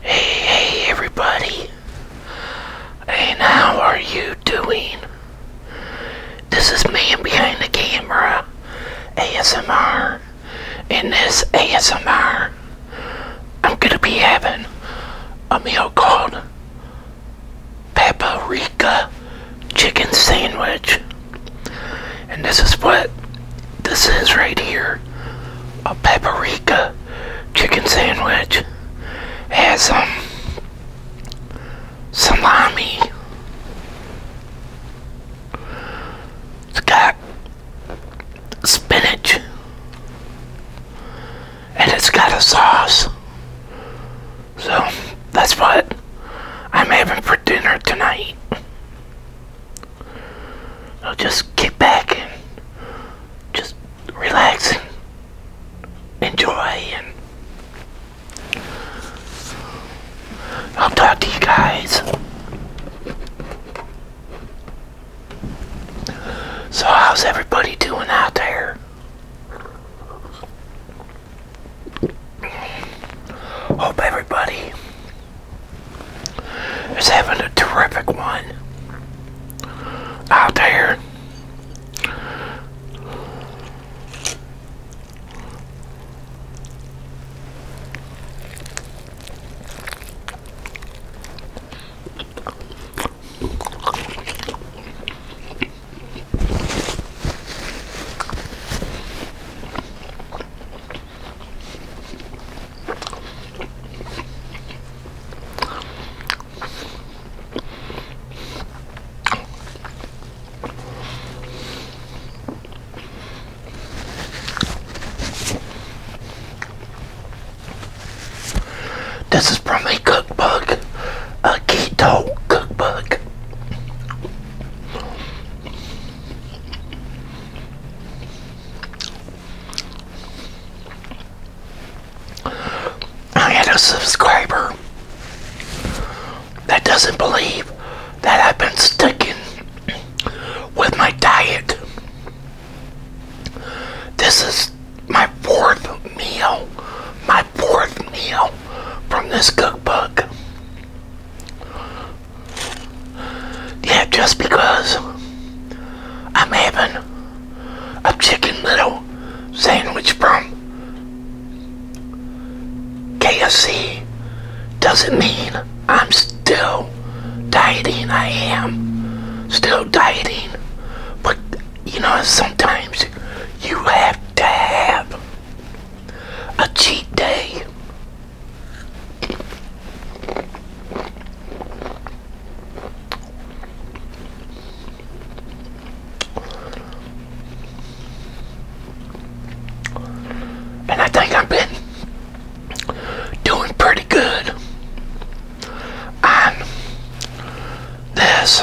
Hey, everybody. Hey, how are you doing? This is Man Behind the Camera ASMR. In this ASMR, I'm gonna be having a meal called paprika chicken sandwich. And this is what this is right here. A paprika chicken sandwich has some um, salami. It's got spinach and it's got a sauce. So that's what I'm having for dinner tonight. I'll just kick back and just relax and enjoy and I'll talk to you guys. So how's everybody doing out there? Hope everybody is having a terrific one out there. This is from a cookbook, a keto cookbook. I had a subscriber that doesn't believe that I've been sticking with my diet. This is my fourth meal, my fourth meal from this cookbook. Yeah, just because I'm having a chicken little sandwich from KFC doesn't mean I'm still dieting. I am still dieting. But, you know, sometimes you have to have a cheat day. And I think i am been doing pretty good on this.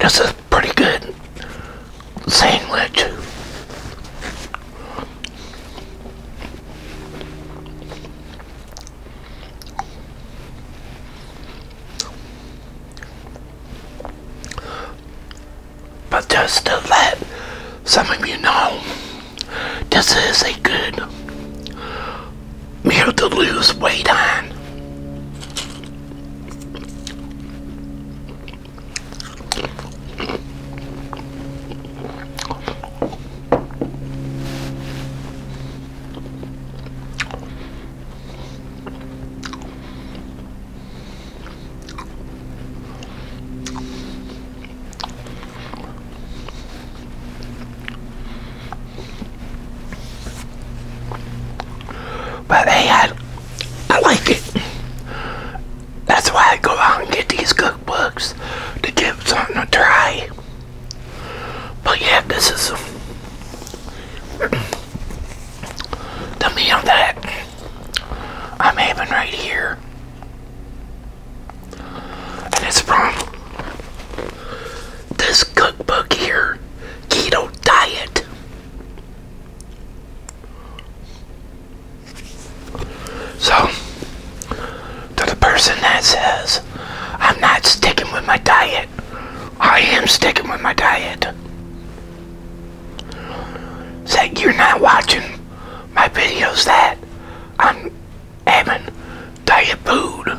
This is pretty good sandwich. But just to let some of you know, this is a good meal to lose weight on. But hey, I, I like it. That's why I go out and get these cookbooks to give something a try. But yeah, this is the meal that I'm having right here. And it's from this cookbook here, Keto Diet. So, to the person that says, I'm not sticking with my diet, I am sticking with my diet. Say you're not watching my videos that I'm having diet food.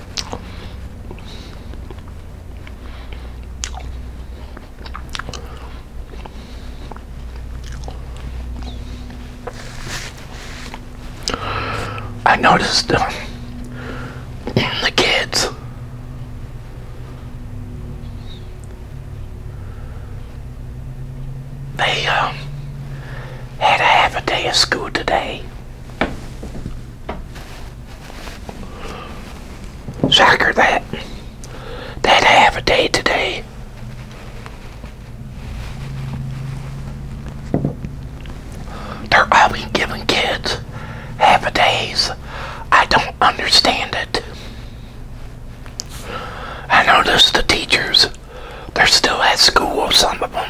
I noticed uh, the kids they um, had half a day of school today Shocker that that half a day today. They're always giving kids half a days. I don't understand it. I notice the teachers, they're still at school, some of them.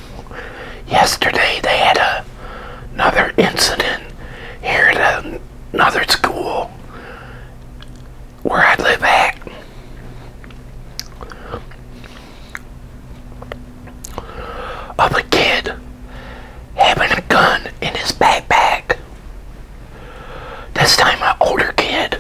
yesterday they had a, another incident here at another school where I live at. Of a kid having a gun in his backpack. This time, an older kid.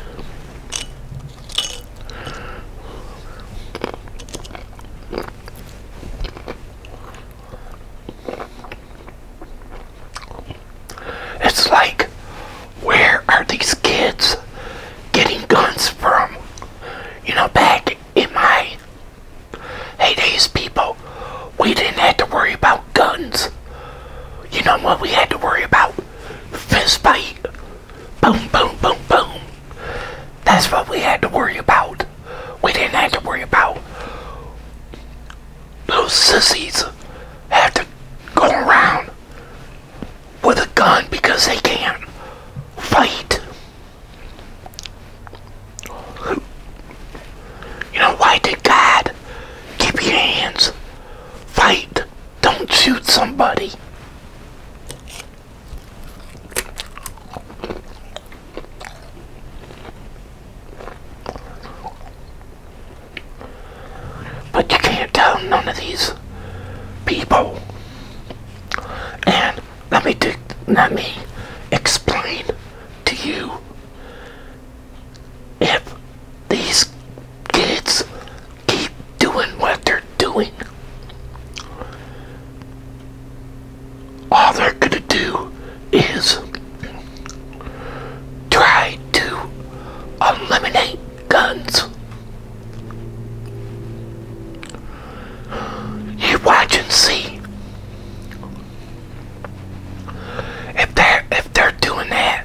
It's like, where are these kids getting guns from? You know, back in my heydays, people, we didn't have to worry about guns. You know what we had to worry about? Fist fight. Boom, boom, boom, boom. That's what we had to worry about. We didn't have to worry about little sissies have to go around with a gun because they can't fight. You know, why did God keep your hands? Fight. Don't shoot somebody. But you can't tell none of these people. And let me do, let me explain to you if these kids keep doing what they're doing all they're going to do is try to eliminate guns. You watch and see. If they're, if they're doing that,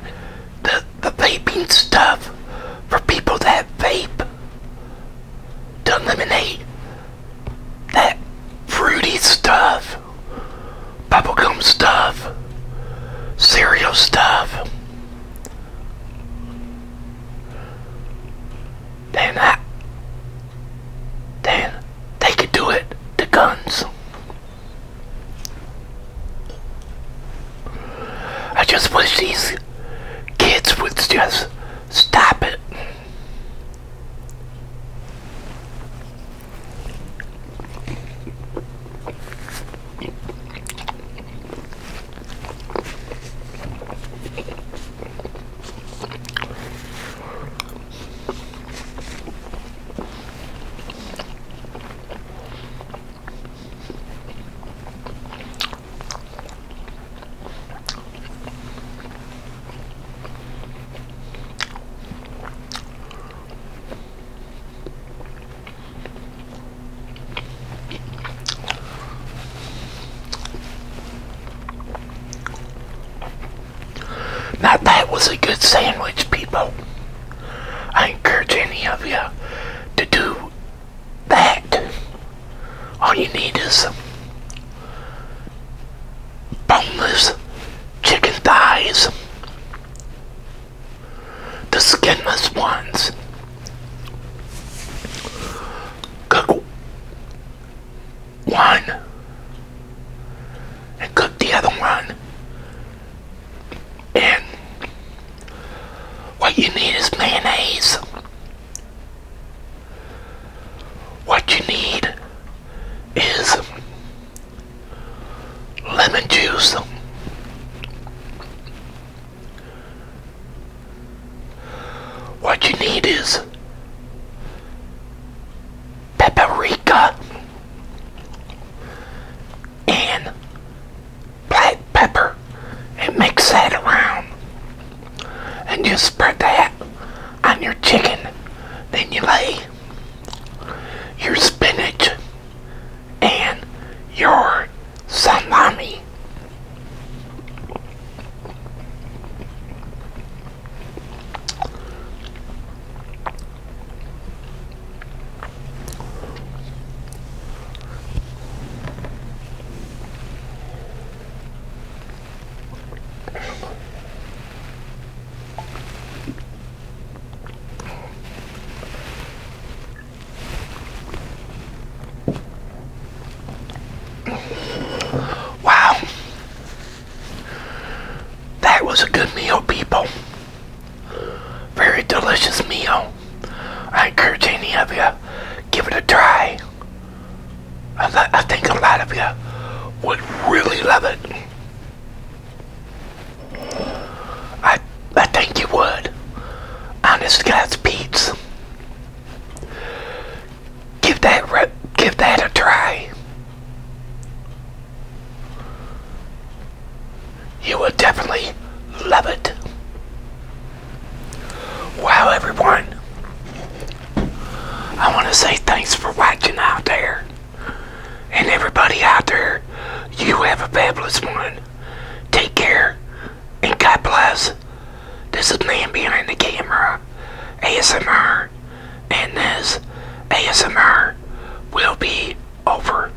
the, the vaping stuff for people that vape, to eliminate that fruity stuff, bubblegum stuff, cereal stuff. Then then they could do it to guns. I just wish these kids would just Stop it. Now that was a good sandwich, people. I encourage any of you to do Back. All you need is boneless chicken thighs, the skinless ones. Cook one and cook the other one. And what you need is mayonnaise. What you need is lemon juice, what you need is paprika and black pepper and mix that around. And you spread that on your chicken. Then you lay your spinach and your salami. Wow. That was a good meal, people. Very delicious meal. I encourage any of you, give it a try. I, think a lot of you would really love it. I, I think you would. Honest Guys Pete's. Give that, give that a try. You will definitely love it. Wow, everyone. I want to say thanks for watching out there. And everybody out there, you have a fabulous one. Take care and God bless. This is me behind the camera, ASMR, and this ASMR will be over.